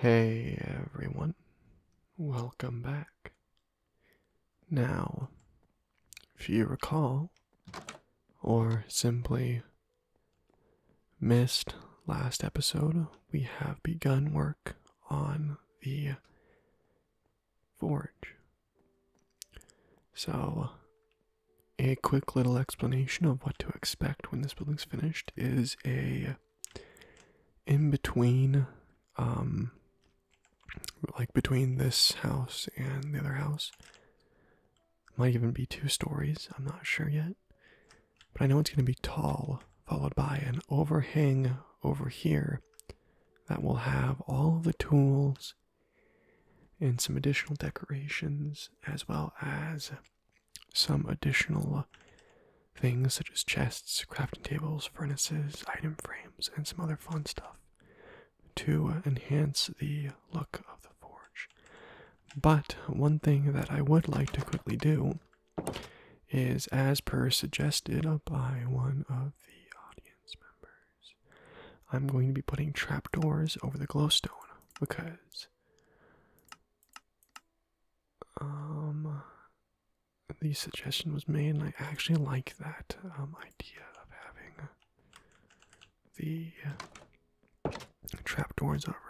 Hey everyone, welcome back. Now, if you recall, or simply missed last episode, we have begun work on the forge. So, a quick little explanation of what to expect when this building's finished is a in between um like between this house and the other house. Might even be two stories, I'm not sure yet. But I know it's going to be tall, followed by an overhang over here that will have all the tools and some additional decorations, as well as some additional things such as chests, crafting tables, furnaces, item frames, and some other fun stuff to enhance the look of the forge. But one thing that I would like to quickly do is, as per suggested by one of the audience members, I'm going to be putting trapdoors over the glowstone because um, the suggestion was made and I actually like that um, idea of having the trapdoors over it.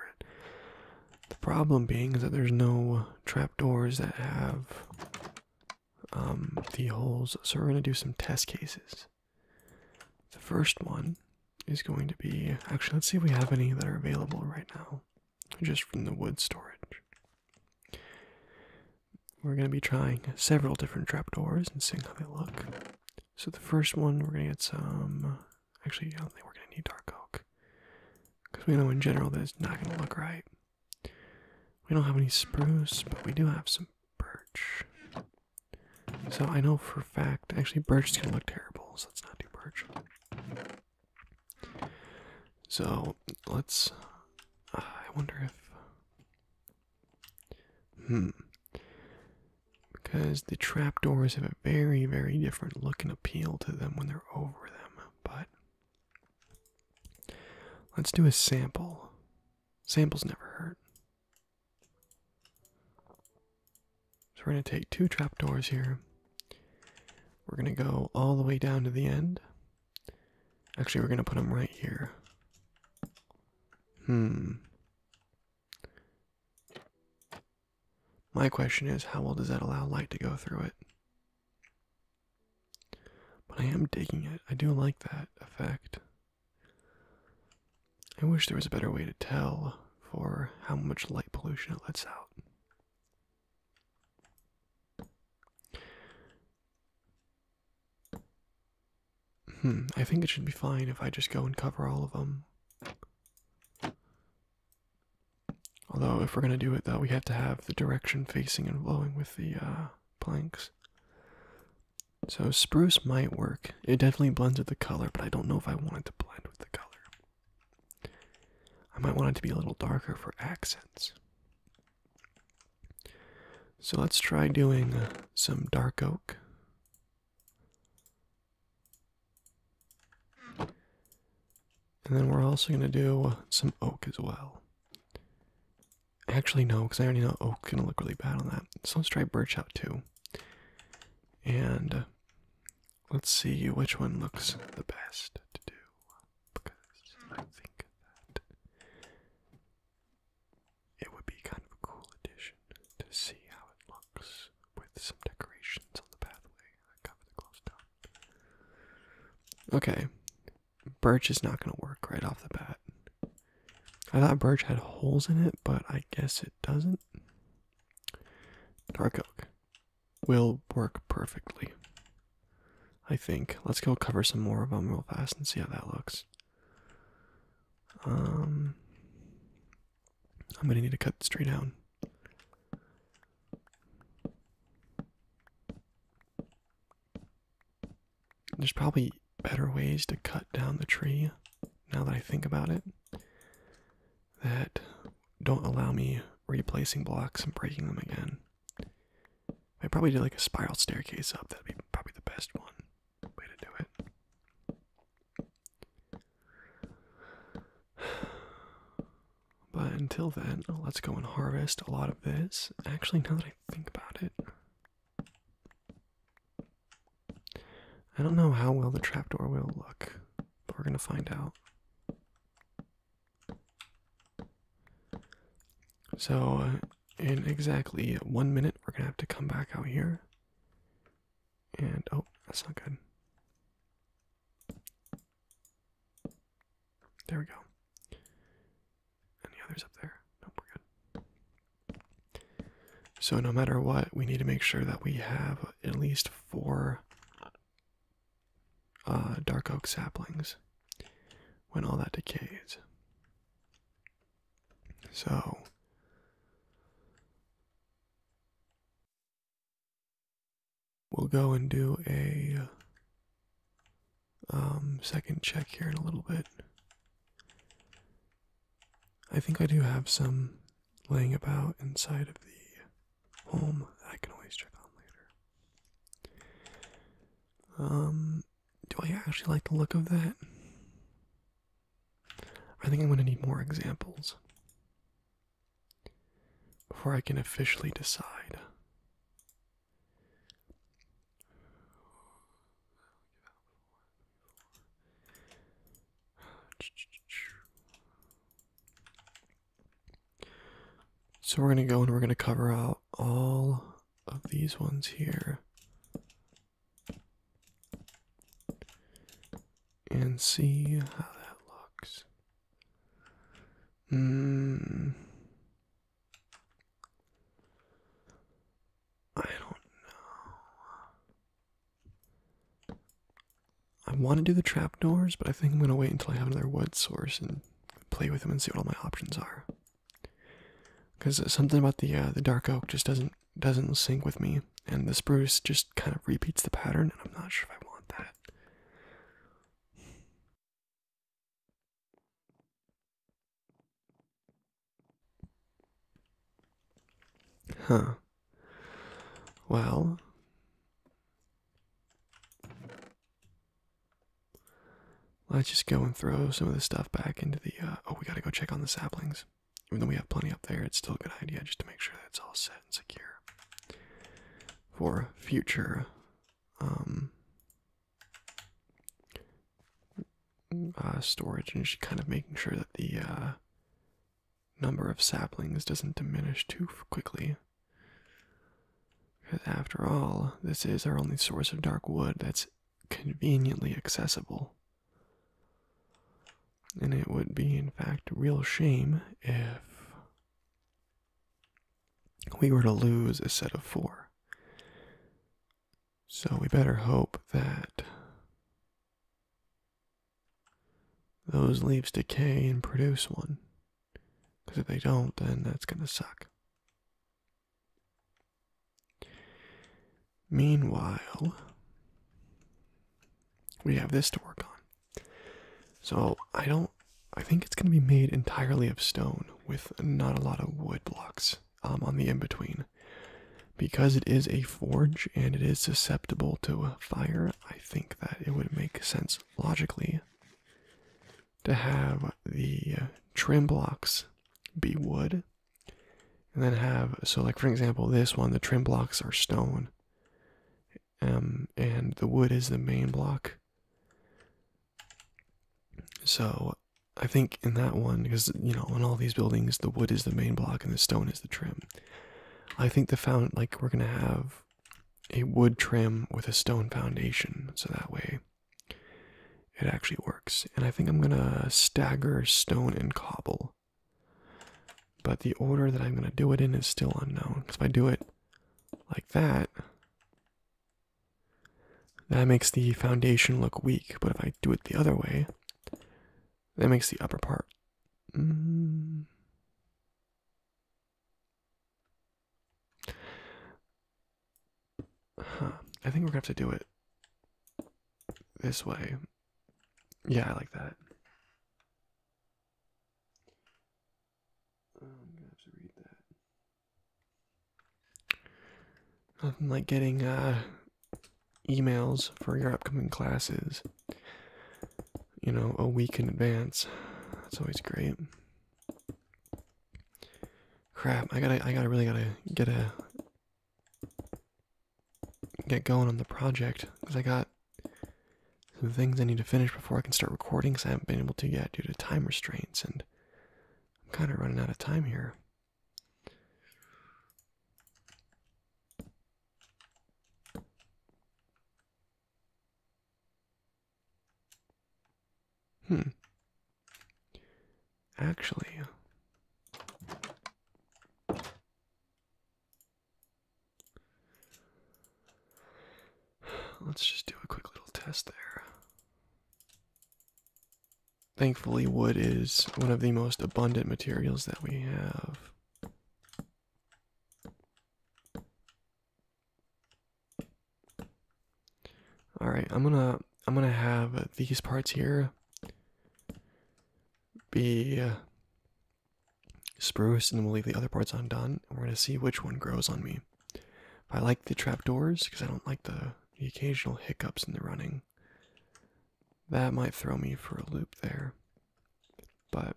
The problem being is that there's no trapdoors that have um, the holes so we're gonna do some test cases the first one is going to be actually, let's see if we have any that are available right now, just from the wood storage. We're going to be trying several different trapdoors and seeing how they look. So, the first one, we're going to get some. Actually, I don't think we're going to need dark oak because we know in general that's not going to look right. We don't have any spruce, but we do have some birch. So I know for a fact, actually, birch is gonna look terrible, so let's not do birch. So let's. Uh, I wonder if. Hmm. Because the trapdoors have a very, very different look and appeal to them when they're over them, but. Let's do a sample. Samples never hurt. So we're going to take two trapdoors here. We're going to go all the way down to the end. Actually, we're going to put them right here. Hmm. My question is, how well does that allow light to go through it? But I am digging it. I do like that effect. I wish there was a better way to tell for how much light pollution it lets out. Hmm, I think it should be fine if I just go and cover all of them. Although, if we're going to do it, though, we have to have the direction facing and blowing with the uh, planks. So spruce might work. It definitely blends with the color, but I don't know if I want it to blend with the color. I might want it to be a little darker for accents. So let's try doing uh, some dark oak. And then we're also going to do uh, some oak as well. Actually, no, because I already know oak's gonna look really bad on that. So let's try birch out too. And uh, let's see which one looks the best to do. Because I think that it would be kind of cool addition to see how it looks with some decorations on the pathway that cover the glowstone. Okay, birch is not going to work right off the bat. I thought birch had holes in it, but I guess it doesn't. Dark oak will work perfectly. I think. Let's go cover some more of them real fast and see how that looks. Um, I'm gonna need to cut straight down. There's probably better ways to cut down the tree now that I think about it that don't allow me replacing blocks and breaking them again. I probably do like a spiral staircase up, that'd be probably the best one way to do it. But until then, let's go and harvest a lot of this. Actually, now that I think about it, I don't know how well the trapdoor will look, but we're going to find out. So, uh, in exactly one minute, we're going to have to come back out here. And, oh, that's not good. There we go. Any others up there? Nope, we're good. So no matter what, we need to make sure that we have at least four uh, dark oak saplings when all that decays. So we'll go and do a um, second check here in a little bit I think I do have some laying about inside of the home I can always check on later. Um, do I actually like the look of that? I think I'm going to need more examples before I can officially decide. So we're going to go and we're going to cover out all of these ones here. And see how that looks. Hmm. I don't know. I want to do the trapdoors, but I think I'm going to wait until I have another wood source and play with them and see what all my options are. Because something about the uh, the dark oak just doesn't doesn't sync with me, and the spruce just kind of repeats the pattern, and I'm not sure if I want that. Huh. Well, let's just go and throw some of this stuff back into the. Uh, oh, we gotta go check on the saplings. Even though we have plenty up there, it's still a good idea just to make sure that it's all set and secure for future um, uh, storage and she's kind of making sure that the uh, number of saplings doesn't diminish too quickly. Because after all, this is our only source of dark wood that's conveniently accessible. And it would be, in fact, a real shame if we were to lose a set of four. So we better hope that those leaves decay and produce one. Because if they don't, then that's going to suck. Meanwhile, we have this to work on. So I don't, I think it's going to be made entirely of stone with not a lot of wood blocks um, on the in between. Because it is a forge and it is susceptible to fire, I think that it would make sense logically to have the uh, trim blocks be wood. And then have, so like for example, this one, the trim blocks are stone. Um, and the wood is the main block. So I think in that one, because you know, on all these buildings, the wood is the main block and the stone is the trim. I think the found like we're gonna have a wood trim with a stone foundation, so that way it actually works. And I think I'm gonna stagger stone and cobble. But the order that I'm gonna do it in is still unknown. Because if I do it like that, that makes the foundation look weak, but if I do it the other way, that makes the upper part. Mm. I think we're gonna have to do it this way. Yeah, I like that. Nothing like getting uh, emails for your upcoming classes, you know, a week in advance. That's always great. Crap! I gotta, I gotta really gotta get a get going on the project because I got some things I need to finish before I can start recording. Because I haven't been able to yet due to time restraints and I'm kind of running out of time here. Hmm. Actually, let's just do a quick little test there. Thankfully, wood is one of the most abundant materials that we have. All right, I'm gonna I'm gonna have these parts here be uh, spruce, and we'll leave the other parts undone. And we're gonna see which one grows on me. I like the trapdoors because I don't like the, occasional hiccups in the running. That might throw me for a loop there. But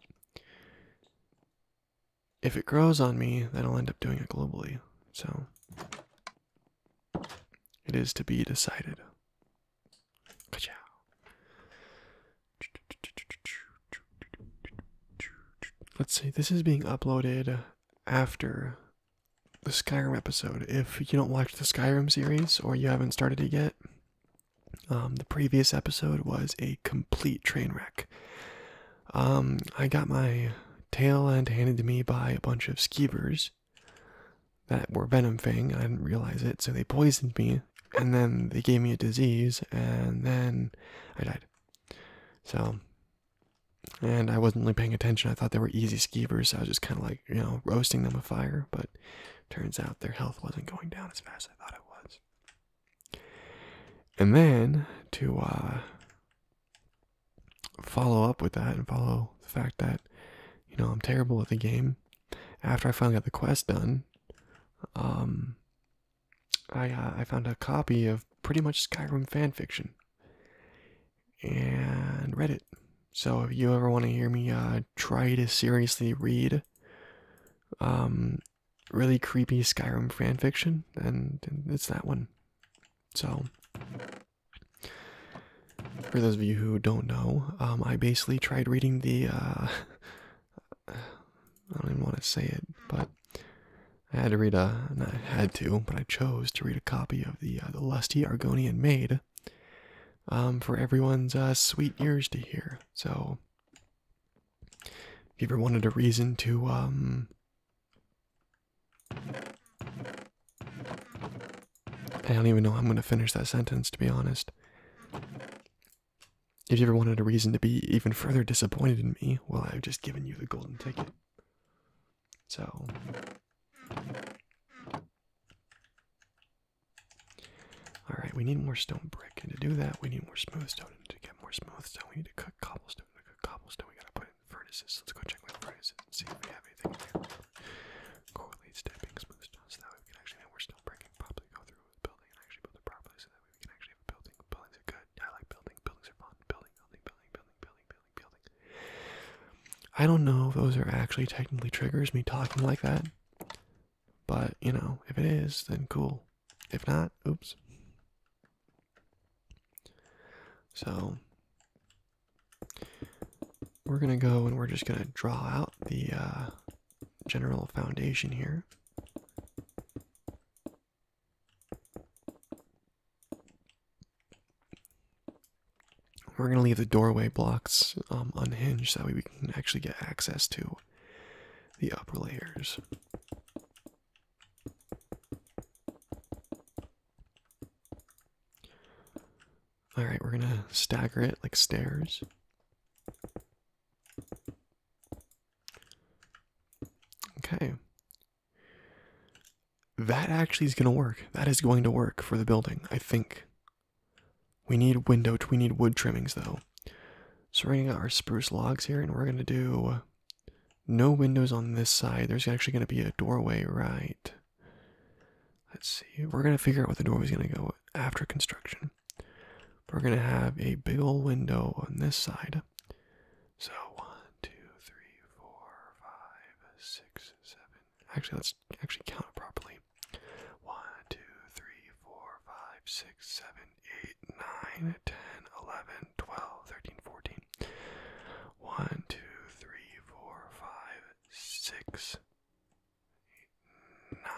if it grows on me, then I'll end up doing it globally. So it is to be decided. Gotcha. Let's see, this is being uploaded after the Skyrim episode. If you don't watch the Skyrim series or you haven't started it yet, um, the previous episode was a complete train wreck. Um, I got my tail and handed to me by a bunch of skeevers that were venom fang. I didn't realize it, so they poisoned me, and then they gave me a disease, and then I died. So and I wasn't really paying attention. I thought they were easy skeivers. I was just kind of like, you know, roasting them with fire. But turns out their health wasn't going down as fast as I thought it was. And then to uh, follow up with that and follow the fact that, you know, I'm terrible at the game. After I finally got the quest done, um, I uh, I found a copy of pretty much Skyrim fan fiction and Reddit. So if you ever want to hear me uh, try to seriously read um, really creepy Skyrim fanfiction, and, and it's that one. So for those of you who don't know, um, I basically tried reading the. Uh, I don't even want to say it, but I had to read a, I had to, but I chose to read a copy of the uh, the Lusty Argonian Maid, um, for everyone's uh, sweet ears to hear. So, if you ever wanted a reason to, um, I don't even know I'm gonna finish that sentence to be honest. If you ever wanted a reason to be even further disappointed in me, well, I've just given you the golden ticket. So Alright, we need more stone brick, and to do that we need more smooth stone, and to get more smooth stone we need to cut cobblestone. To cut cobblestone we gotta put in furnaces. Let's go check my furnaces and see if we have anything there. Correlate stepping smooth stone so that we can actually have more stone brick and probably go through building and actually build it properly so that we can actually have a building. Buildings are good. I like building, buildings are fun. building, building, building, building, building, building, I don't know if those are actually technically triggers, me talking like that. But, you know, if it is, then cool. If not, oops. So, we're gonna go and we're just gonna draw out the uh, general foundation here. We're gonna leave the doorway blocks um, unhinged, so we can actually get access to the upper layers. All right, we're gonna stagger it like stairs. Okay, that actually is going to work. That is going to work for the building, I think. We need window, we need wood trimmings though. So we're going to get our spruce logs here and we're going to do no windows on this side. There's actually going to be a doorway right. Let's see. We're going to figure out where the doorway is going to go after construction. We're going to have a big old window on this side. So one, two, three, four, five, six, seven. Actually, let's actually count it properly. One, two, three, four, five, six, seven, eight, nine, ten, eleven, twelve, thirteen, fourteen. One, two, three, four, five, six, eight, nine.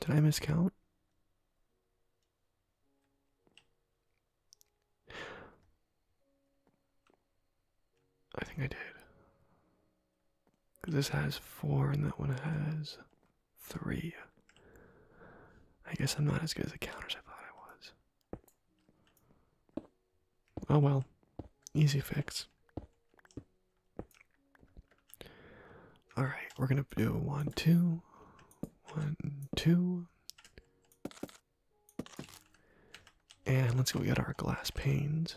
Did I miscount? I think I did. Because this has four and that one has three. I guess I'm not as good at the as I thought I was. Oh well. Easy fix. All right, we're gonna do one, two, one, two, and let's go get our glass panes.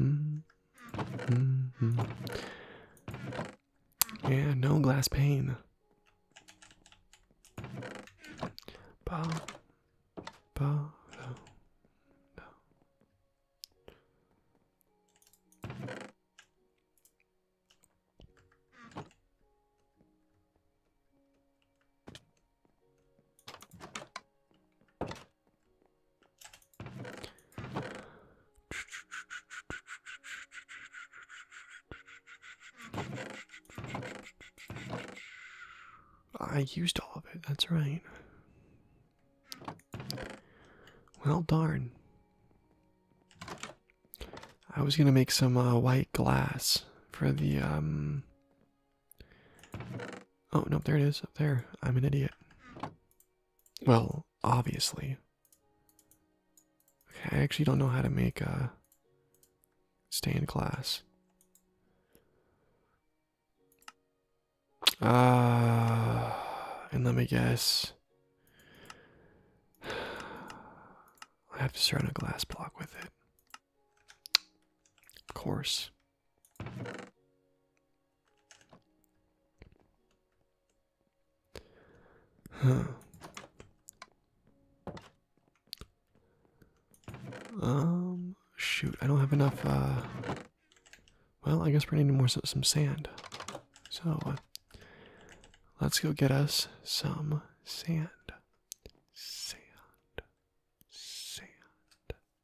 Mm -hmm. Yeah, no glass pane. Ba, ba, no. I used all of it, that's right. Well, darn. I was gonna make some uh, white glass for the, um. Oh, no, there it is up there. I'm an idiot. Well, obviously. I actually don't know how to make a stained glass. Uh, and let me guess. I have to surround a glass block with it. Of course. Um, shoot, I don't have enough, uh, well, I guess we're needing more, some sand. So, uh, let's go get us some sand. Sand. Sand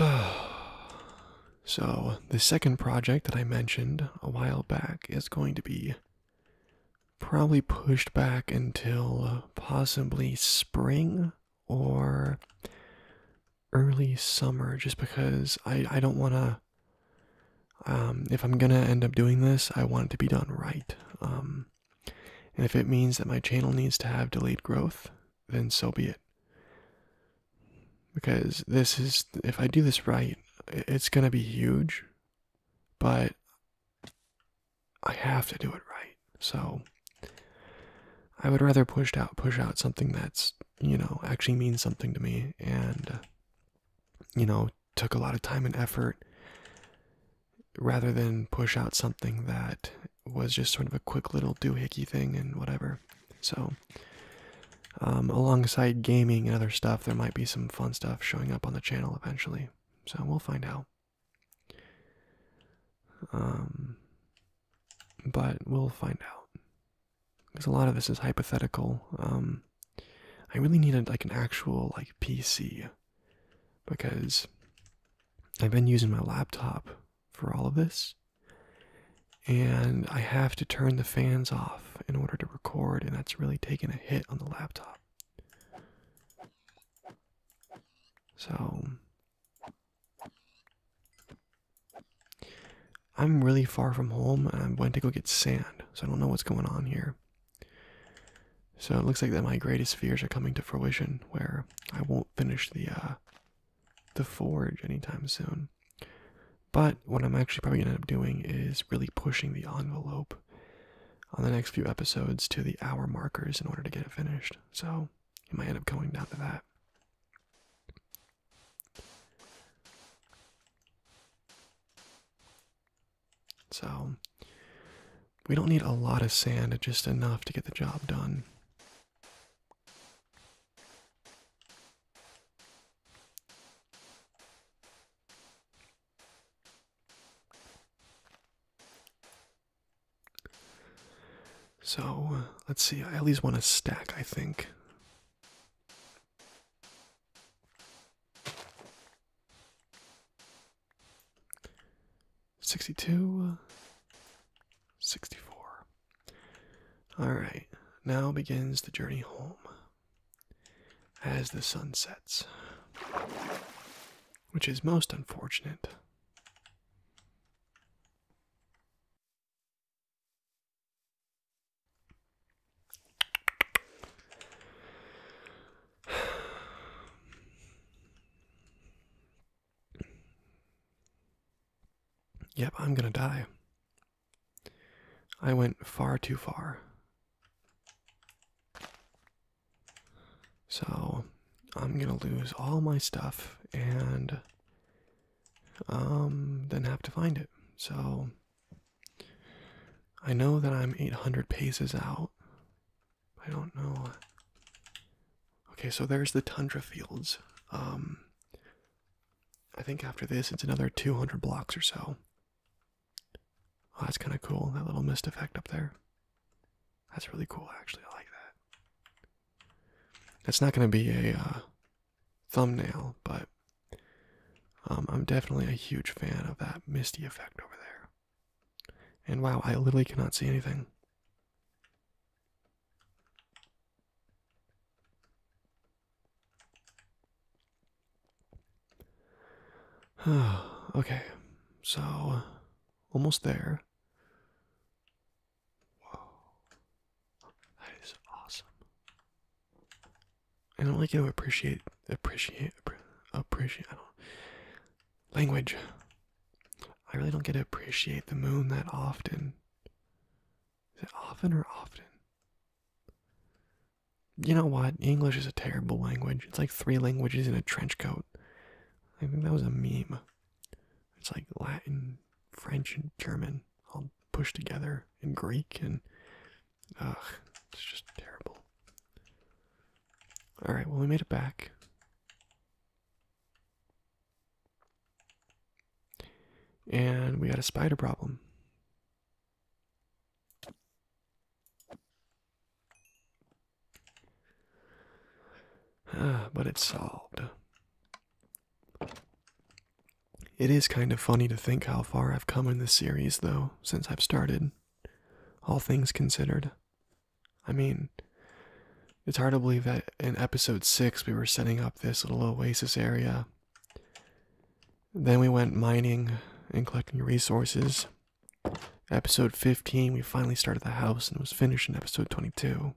so, the second project that I mentioned a while back is going to be probably pushed back until uh, possibly spring or early summer just because I, I don't want to um, if I'm gonna end up doing this, I want it to be done right. Um, and if it means that my channel needs to have delayed growth, then so be it. Because this is, if I do this right, it's gonna be huge but I have to do it right. So I would rather push out push out something that's, you know, actually means something to me and uh, you know, took a lot of time and effort rather than push out something that was just sort of a quick little doohickey thing and whatever. So um, alongside gaming and other stuff, there might be some fun stuff showing up on the channel eventually. So we'll find out. Um, but we'll find out because a lot of this is hypothetical. Um, I really needed like an actual like PC because I've been using my laptop for all of this, and I have to turn the fans off in order to record, and that's really taking a hit on the laptop. So, I'm really far from home, and I going to go get sand, so I don't know what's going on here. So it looks like that my greatest fears are coming to fruition, where I won't finish the uh, the forge anytime soon. But what I'm actually probably gonna end up doing is really pushing the envelope on the next few episodes to the hour markers in order to get it finished. So it might end up going down to that. So we don't need a lot of sand, just enough to get the job done. So uh, let's see, I at least want to stack, I think. Sixty two, sixty four. All right, now begins the journey home as the sun sets, which is most unfortunate. Yep, I'm gonna die. I went far too far. So I'm gonna lose all my stuff and um then have to find it. So I know that I'm 800 paces out. I don't know. Okay, so there's the tundra fields. Um, I think after this, it's another 200 blocks or so. that's kind of cool, that little mist effect up there. That's really cool, actually. I like that. That's not going to be a uh, thumbnail, but um, I'm definitely a huge fan of that misty effect over there. And wow, I literally cannot see anything. okay, so almost there. Whoa, that is awesome. I don't like to appreciate appreciate appreciate. language. I really don't get to appreciate the moon that often. Is it often or often? You know what? English is a terrible language. It's like three languages in a trench coat. I think that was a meme. It's like Latin, French, and German all pushed together, and Greek, and ugh, it's just terrible. All right, well we made it back. And we had a spider problem. Ah, but it's solved. It is kind of funny to think how far I've come in this series, though, since I've started. All things considered. I mean, it's hard to believe that in episode 6 we were setting up this little oasis area. Then we went mining and collecting resources. Episode 15, we finally started the house and it was finished in episode 22.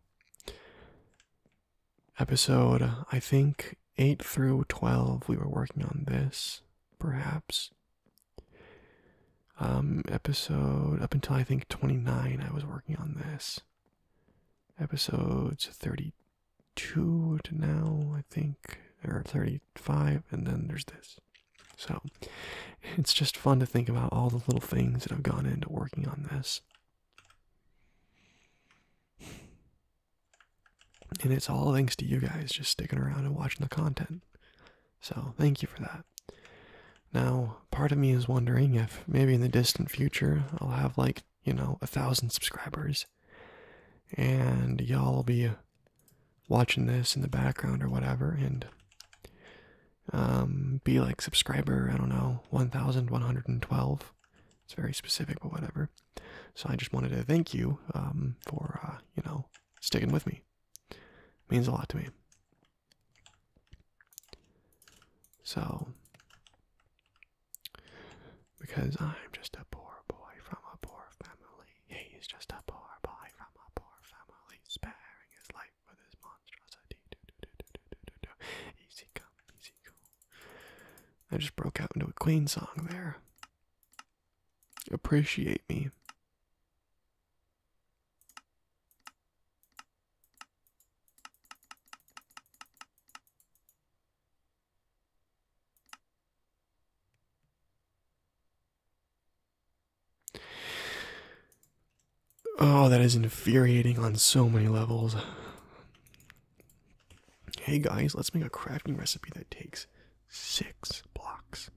Episode, I think, 8 through 12, we were working on this, perhaps. Um, episode, up until I think 29, I was working on this. Episodes 30 two to now, I think, or 35, and then there's this. So it's just fun to think about all the little things that have gone into working on this. And it's all thanks to you guys just sticking around and watching the content. So thank you for that. Now, part of me is wondering if maybe in the distant future I'll have like you know, a thousand subscribers. And y'all be watching this in the background or whatever and um, be like subscriber, I don't know, 1112. It's very specific, but whatever. So I just wanted to thank you um, for, uh, you know, sticking with me. means a lot to me. So because I'm just a poor boy from a poor family. He's just a poor boy from a poor family, sparing his life for this monstrosity. Do, do, do, do, do, do, do. Easy come, easy go. I just broke out into a Queen song there. Appreciate me. Oh, that is infuriating on so many levels. Hey guys, let's make a crafting recipe that takes six blocks,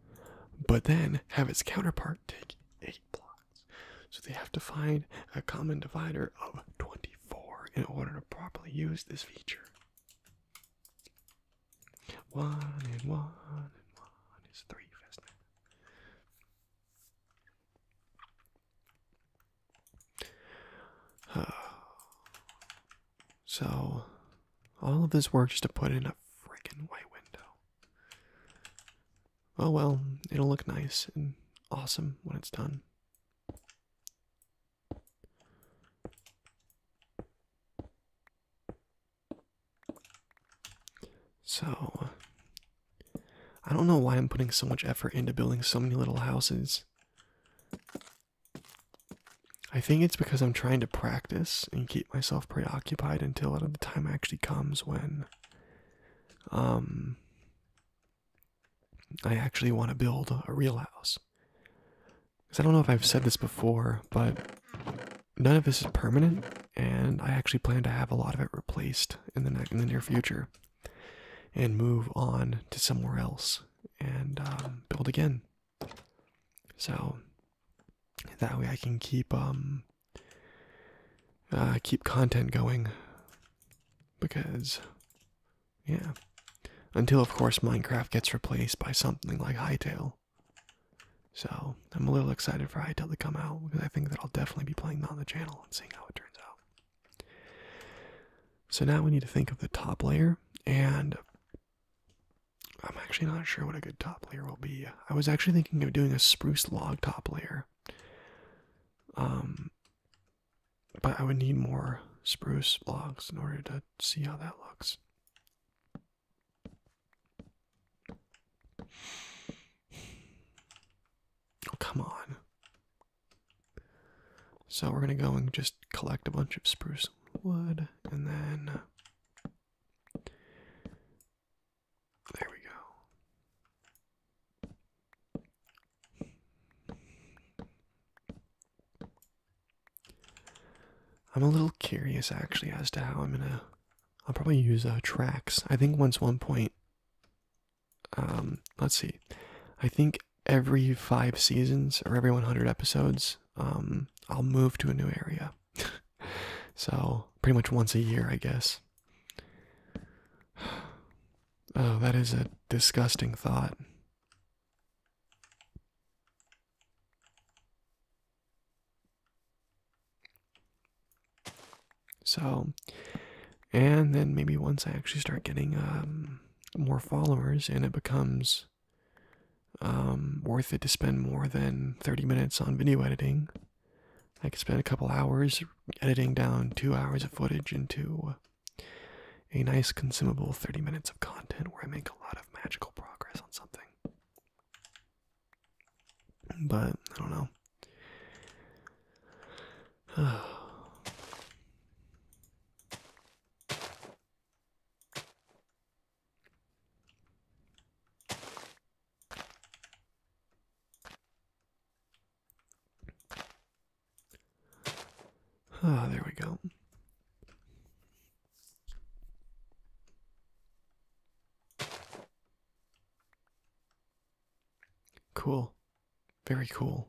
but then have its counterpart take eight blocks. So they have to find a common divider of 20 64 in order to properly use this feature. One and one and one is 3 So, all of this work just to put in a freaking white window. Oh well, it'll look nice and awesome when it's done. So, I don't know why I'm putting so much effort into building so many little houses. I think it's because I'm trying to practice and keep myself preoccupied until the time actually comes when um I actually want to build a real house. Because I don't know if I've said this before, but none of this is permanent, and I actually plan to have a lot of it replaced in the, in the near future and move on to somewhere else and um, build again. So that way I can keep um uh, keep content going because yeah. Until, of course, Minecraft gets replaced by something like Hytale. So, I'm a little excited for Hytale to come out because I think that I'll definitely be playing that on the channel and seeing how it turns out. So, now we need to think of the top layer, and I'm actually not sure what a good top layer will be. I was actually thinking of doing a spruce log top layer. Um, but I would need more spruce logs in order to see how that looks. Oh, come on. So we're going to go and just collect a bunch of spruce wood and then. Uh, there we go. I'm a little curious actually as to how I'm gonna. I'll probably use uh, tracks. I think once one point. Um, let's see. I think every five seasons or every 100 episodes, um, I'll move to a new area. so pretty much once a year, I guess. Oh, that is a disgusting thought. So, and then maybe once I actually start getting um, more followers and it becomes um, worth it to spend more than 30 minutes on video editing, I could spend a couple hours editing down two hours of footage into a nice consumable 30 minutes of content where I make a lot of magical progress on something. But I don't know. Ah, there we go. Cool. Very cool.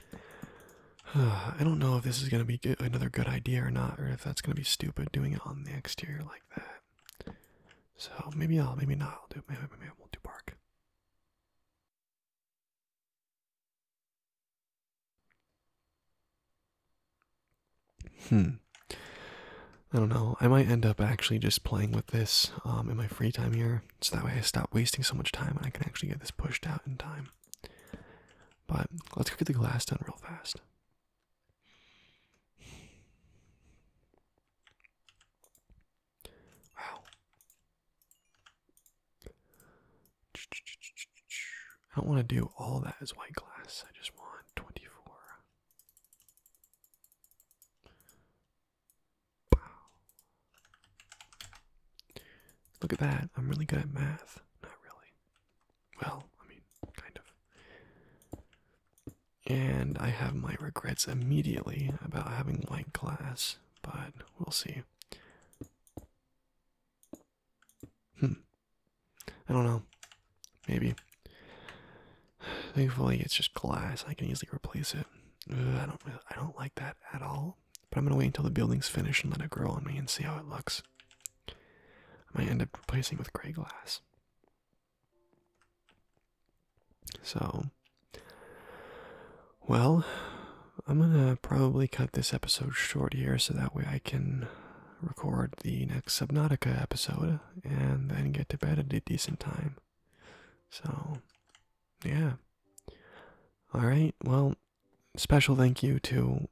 I don't know if this is going to be another good idea or not, or if that's going to be stupid doing it on the exterior like that. So maybe I'll, maybe not. I'll do maybe, maybe I won't do bark. Hmm. I don't know. I might end up actually just playing with this um, in my free time here, so that way I stop wasting so much time and I can actually get this pushed out in time. But let's go get the glass done real fast. Wow. I don't want to do all that as white glass. I just want 24. Wow. Look at that. I'm really good at math. Not really. Well, I mean, kind of. And I have my regrets immediately about having white glass, but we'll see. Hmm. I don't know. Maybe. Thankfully, it's just glass. I can easily replace it. I don't. I don't like that at all but I'm gonna wait until the building's finished and let it grow on me and see how it looks. I might end up replacing with gray glass. So, well, I'm gonna probably cut this episode short here so that way I can record the next Subnautica episode and then get to bed at a decent time. So, yeah. Alright, well, special thank you to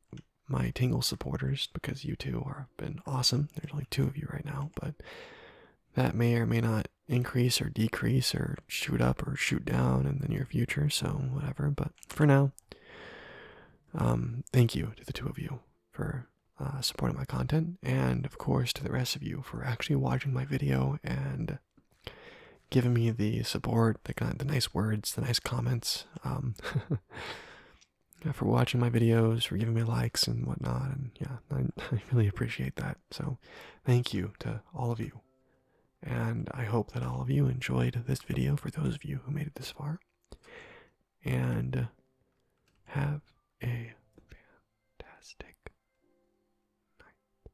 my Tingle supporters because you two are been awesome. There's only two of you right now, but that may or may not increase or decrease or shoot up or shoot down in the near future, so whatever. But for now, um, thank you to the two of you for uh, supporting my content, and of course to the rest of you for actually watching my video and giving me the support, the the nice words, the nice comments, um, for watching my videos, for giving me likes and whatnot, and yeah, I really appreciate that. So, thank you to all of you, and I hope that all of you enjoyed this video. For those of you who made it this far, and have a fantastic night.